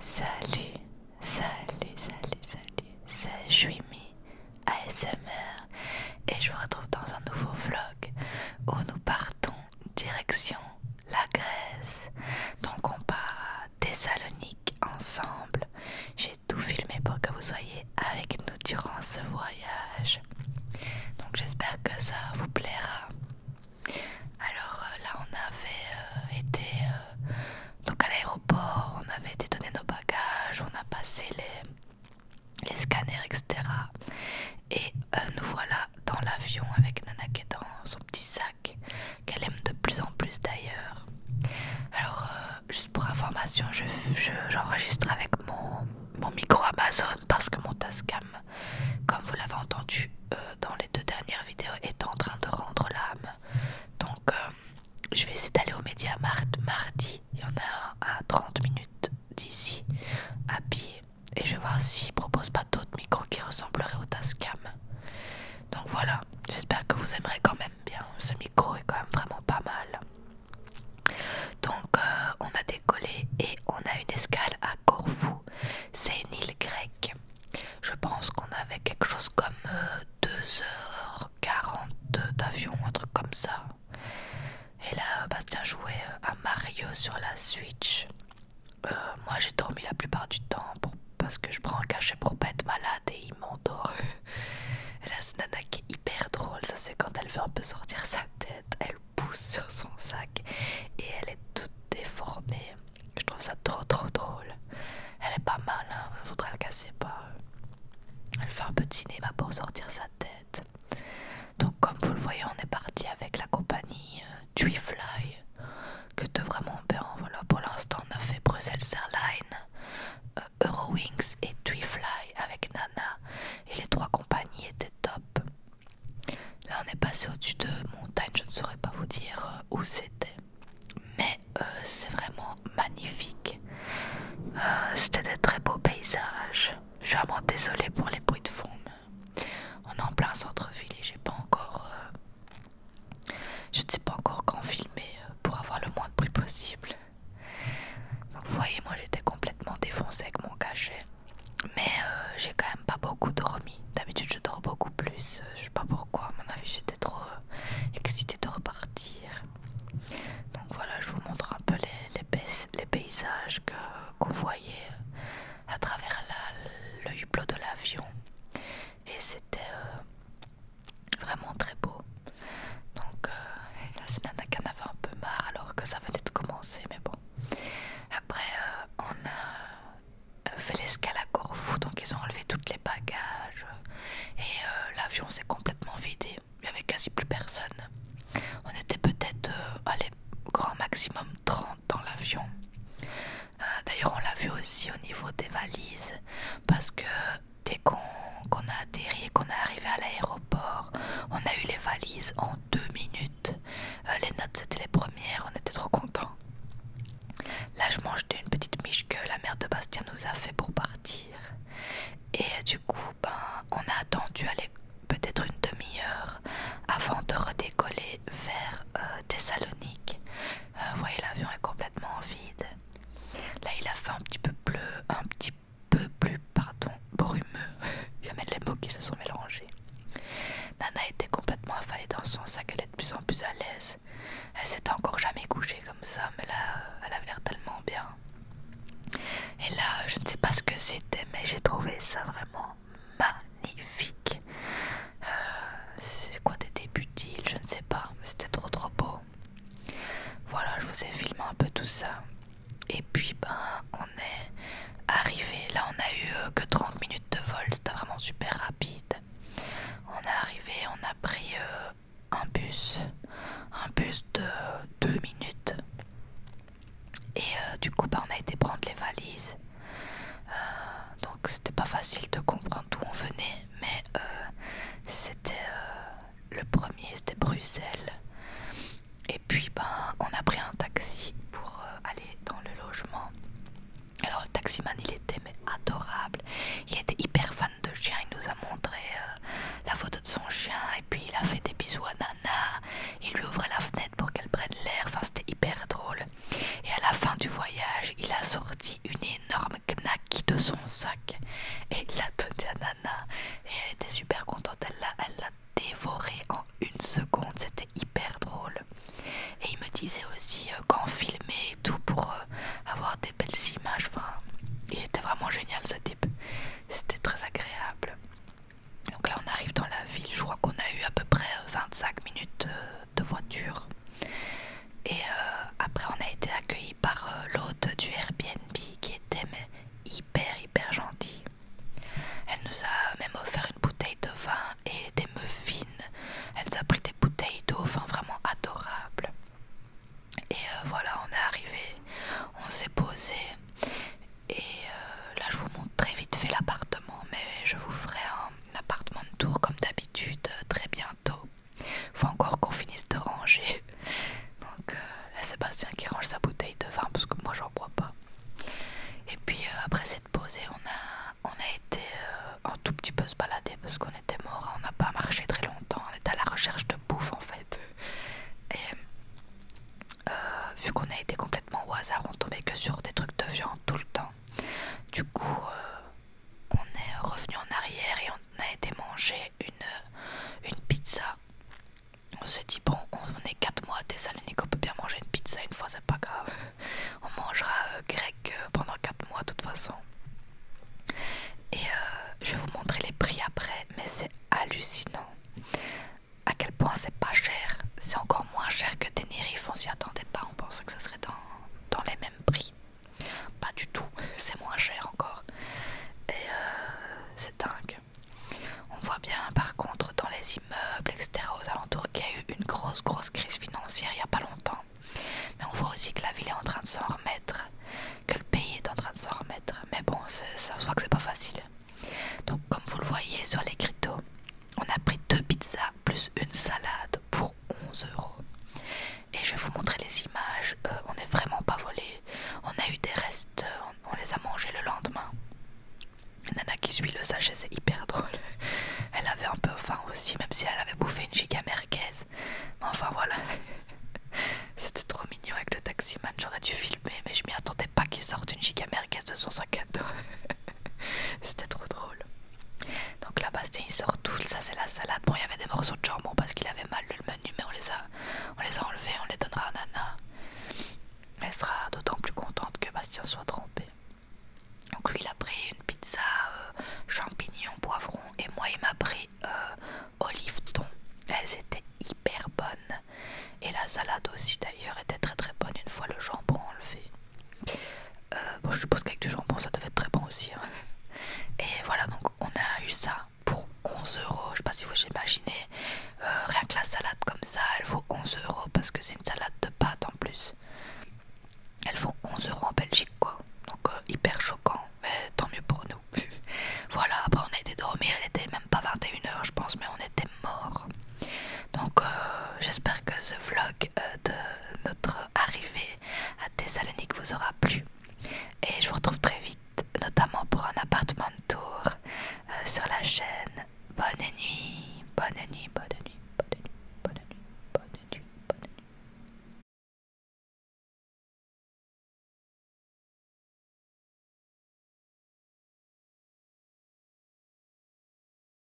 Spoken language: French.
Salut, salut, salut, salut, c'est Jouimi ASMR et je vous retrouve dans un nouveau vlog où nous partons direction la Grèce. Donc on part à Thessalonique ensemble. J'ai tout filmé pour que vous soyez avec nous durant ce voyage. Donc j'espère que ça vous plaira. Alors euh, là, on avait euh, été euh, donc à l'aéroport, on avait été donné nos bagages, on a passé les, les scanners, etc. Et nous voilà dans l'avion avec Nana qui est dans son petit sac, qu'elle aime de plus en plus d'ailleurs. Alors, juste pour information, j'enregistre avec mon, mon micro Amazon parce que mon Tascam comme vous l'avez entendu euh, dans les deux dernières vidéos, est en train de rendre l'âme. Donc euh, je vais essayer d'aller au média mardi, il y en a un à 30 minutes d'ici, à pied, et je vais voir s'ils proposent pas d'autres micros qui ressembleraient au Tascam. Donc voilà, j'espère que vous aimerez quand même bien, ce micro est quand même vraiment pas mal. Donc euh, on a décollé et on a une escale à Corfou c'est une île grecque. Je pense qu'on avait quelque chose comme 2h40 euh, d'avion, un truc comme ça. Et là, Bastien jouait euh, à Mario sur la Switch. Euh, moi j'ai dormi la plupart du temps parce que je prends un cachet pour pas être malade et il m'endort. La nana qui est hyper drôle, ça c'est quand elle veut un peu sortir sa tête, elle pousse sur son sac et elle est toute déformée. Je trouve ça trop trop drôle. Elle est pas mal, hein, faudrait la casser pas. Euh, elle fait un petit cinéma bah, pour sortir sa tête. Donc comme vous le voyez, on est parti avec la compagnie euh, Twifly, que de vraiment bien. Voilà, pour l'instant, on a fait Bruxelles Airlines, euh, Eurowings et Twifly avec Nana. Et les trois compagnies étaient top. Là on est passé au-dessus de montagne, je ne saurais pas vous dire euh, où c'était. Mais euh, c'est vraiment magnifique. Euh, c'était des très beaux paysages. Je suis vraiment désolée pour les bruits de fond. on est en plein centre-ville et j'ai pas encore... je ne sais pas encore quand filmer pour avoir le moins de bruit possible. Donc vous voyez, moi j'étais complètement défoncée avec mon cachet mais euh, j'ai quand même pas beaucoup dormi. D'habitude, je dors beaucoup plus. Euh, je sais pas pourquoi, à mon avis, j'étais trop euh, excitée de repartir. Donc voilà, je vous montre un peu les, les, paysages qu'on voyait à travers le hublot de l'avion. Et c'était vraiment très beau. Donc là, c'est Nana qui avait un peu marre alors que ça venait de commencer, mais bon. Après, euh, on a euh, fait l'escale à Corfu donc ils ont enlevé tous les bagages euh, et l'avion s'est complètement vidé. Il n'y avait quasi plus personne. On était peut-être, à grand maximum 30 dans l'avion. D'ailleurs, on l'a vu aussi au niveau des valises parce que dès qu'on a atterri et qu'on est arrivé à l'aéroport, on a eu les valises en deux minutes. Euh, les notes c'était les premières, on était trop contents. Là je mangeais une petite miche que la mère de Bastien nous a fait pour partir. Et euh, du coup ben on a attendu peut-être une demi-heure avant de redécoller vers euh, Thessalonique. Vous voyez l'avion est complètement vide. Là il a fait un petit peu bleu, un petit peu plus pardon, brumeux. Jamais les mots qui se sont mélangés. Nana était complètement affalée dans son sac, elle est de plus en plus à l'aise. Elle s'était encore jamais couchée comme ça, mais là, elle avait l'air tellement bien. Et là, je ne sais pas ce que c'était, mais j'ai trouvé ça vraiment magnifique. Euh, c'est quoi des débutiles Je ne sais pas, mais c'était trop trop beau. Voilà, je vous ai filmé un peu tout ça. Et puis ben on est arrivé. Là on a eu euh, que 30 minutes de vol, c'était vraiment super rapide. On est arrivé, on a pris euh, un bus, un bus de 2 minutes. Et euh, du coup ben, on a été prendre les valises. donc c'était pas facile de comprendre d'où on venait, mais c'était le premier c'était Bruxelles. Et puis ben on a pris un taxi pour euh, aller dans le logement. Alors le taximan il était mais adorable. Il était hyper fan de chien. Il nous a montré euh, la photo de son chien et puis il a fait des bisous à Nana. Il lui ouvrait la fenêtre pour qu'elle prenne l'air. Enfin c'était hyper drôle. Et à la fin du voyage il a sorti une énorme knack de son sac et il l'a donnée à Nana. Et elle était super contente, elle l'a elle dévoré en une seconde, c'était hyper drôle. Et il me disait aussi euh, quand filmer et tout pour euh, avoir des belles images, enfin il était vraiment génial ce type, c'était très agréable. Donc là on arrive dans la ville, je crois qu'on a eu à peu près 25 euh, minutes de voiture. Et après on a été accueillis par l'hôte du Airbnb qui était hyper hyper gentille. Elle nous a même offert une bouteille de vin et des muffins. Elle nous a pris des bouteilles d'eau, vin vraiment adorables Et euh, voilà, on est arrivé, on s'est posé. Et euh, là, je vous montre très vite fait l'appartement, mais je vous ferai un, un appartement de tour comme d'habitude, euh, très bien il Faut encore qu'on finisse de ranger. Donc euh, là, Sébastien qui range sa bouteille de vin parce que moi j'en bois pas. Et puis euh, après cette pause on a, on a été euh, un tout petit peu se balader parce qu'on était mort, hein. on n'a pas marché très longtemps, on était à la recherche de bouffe en fait. Et euh, vu qu'on a été complètement au hasard, on tombait que sur des trucs de viande tout le temps. Du coup, on est revenu en arrière et on a été manger une, une pizza. On s'est dit, bon, on est 4 mois à Thessalonique, on peut bien manger une pizza une fois, c'est pas grave. On mangera euh, grec euh, pendant 4 mois de toute façon. Et euh, je vais vous montrer les prix après, mais c'est hallucinant. À quel point c'est pas cher. C'est encore moins cher que Tenerife, on s'y attendait pas, on pensait que ça serait dans, dans les mêmes prix. Pas du tout, c'est moins cher encore. Et euh, c'est dingue. On voit bien par contre dans les immeubles, etc., aux alentours, qu'il y a eu une grosse, grosse crise financière il n'y a pas longtemps. Mais on voit aussi que la ville est en train de s'en remettre, que le pays est en train de s'en remettre. Mais bon, ça se voit que c'est pas facile. Donc, comme vous le voyez sur les cryptos, on a pris deux pizzas plus une salade pour 11 euros. Et je vais vous montrer les images. Euh, on n'est vraiment pas volé. On a eu des restes, euh, on les a mangés le lendemain. Nana qui suit le sachet, c'est hyper drôle. Elle avait un peu faim aussi, même si elle avait bouffé une giga enfin voilà. C'était trop mignon avec le taximan. J'aurais dû filmer, mais je m'y attendais pas qu'il sorte une giga de son sac à dos. C'était trop drôle. Donc là, Bastien il sort tout, ça c'est la salade. Bon, il y avait des morceaux de jambon parce qu'il avait mal le menu, mais on les a, on les a enlevés, on les donnera à Nana. Elle sera d'autant plus contente que Bastien soit trompé. Donc lui il a pris une pizza euh, champignons, poivrons et moi il m'a pris euh, olives Elles étaient hyper bonnes. Et la salade aussi d'ailleurs était très très bonne une fois le jambon enlevé. Euh, bon, je suppose qu'avec du jambon ça devait être très bon aussi. Hein. Et voilà, donc on a eu ça pour 11 euros. Je sais pas si vous imaginez, euh, rien que la salade comme ça, elle vaut 11 euros parce que c'est une salade de pâte en plus. Elles font 11 euros en Belgique quoi, donc euh, hyper choquant, mais tant mieux pour nous. voilà, après on a été dormir, elle était même pas 21h je pense, mais on était mort. Donc euh, j'espère que ce vlog euh, de notre arrivée à Thessalonique vous aura plu. Et je vous retrouve très vite, notamment pour un appartement de tour euh, sur la chaîne. bonne nuit, bonne nuit, bonne nuit, bonne nuit, bonne nuit, bonne nuit. Bonne nuit.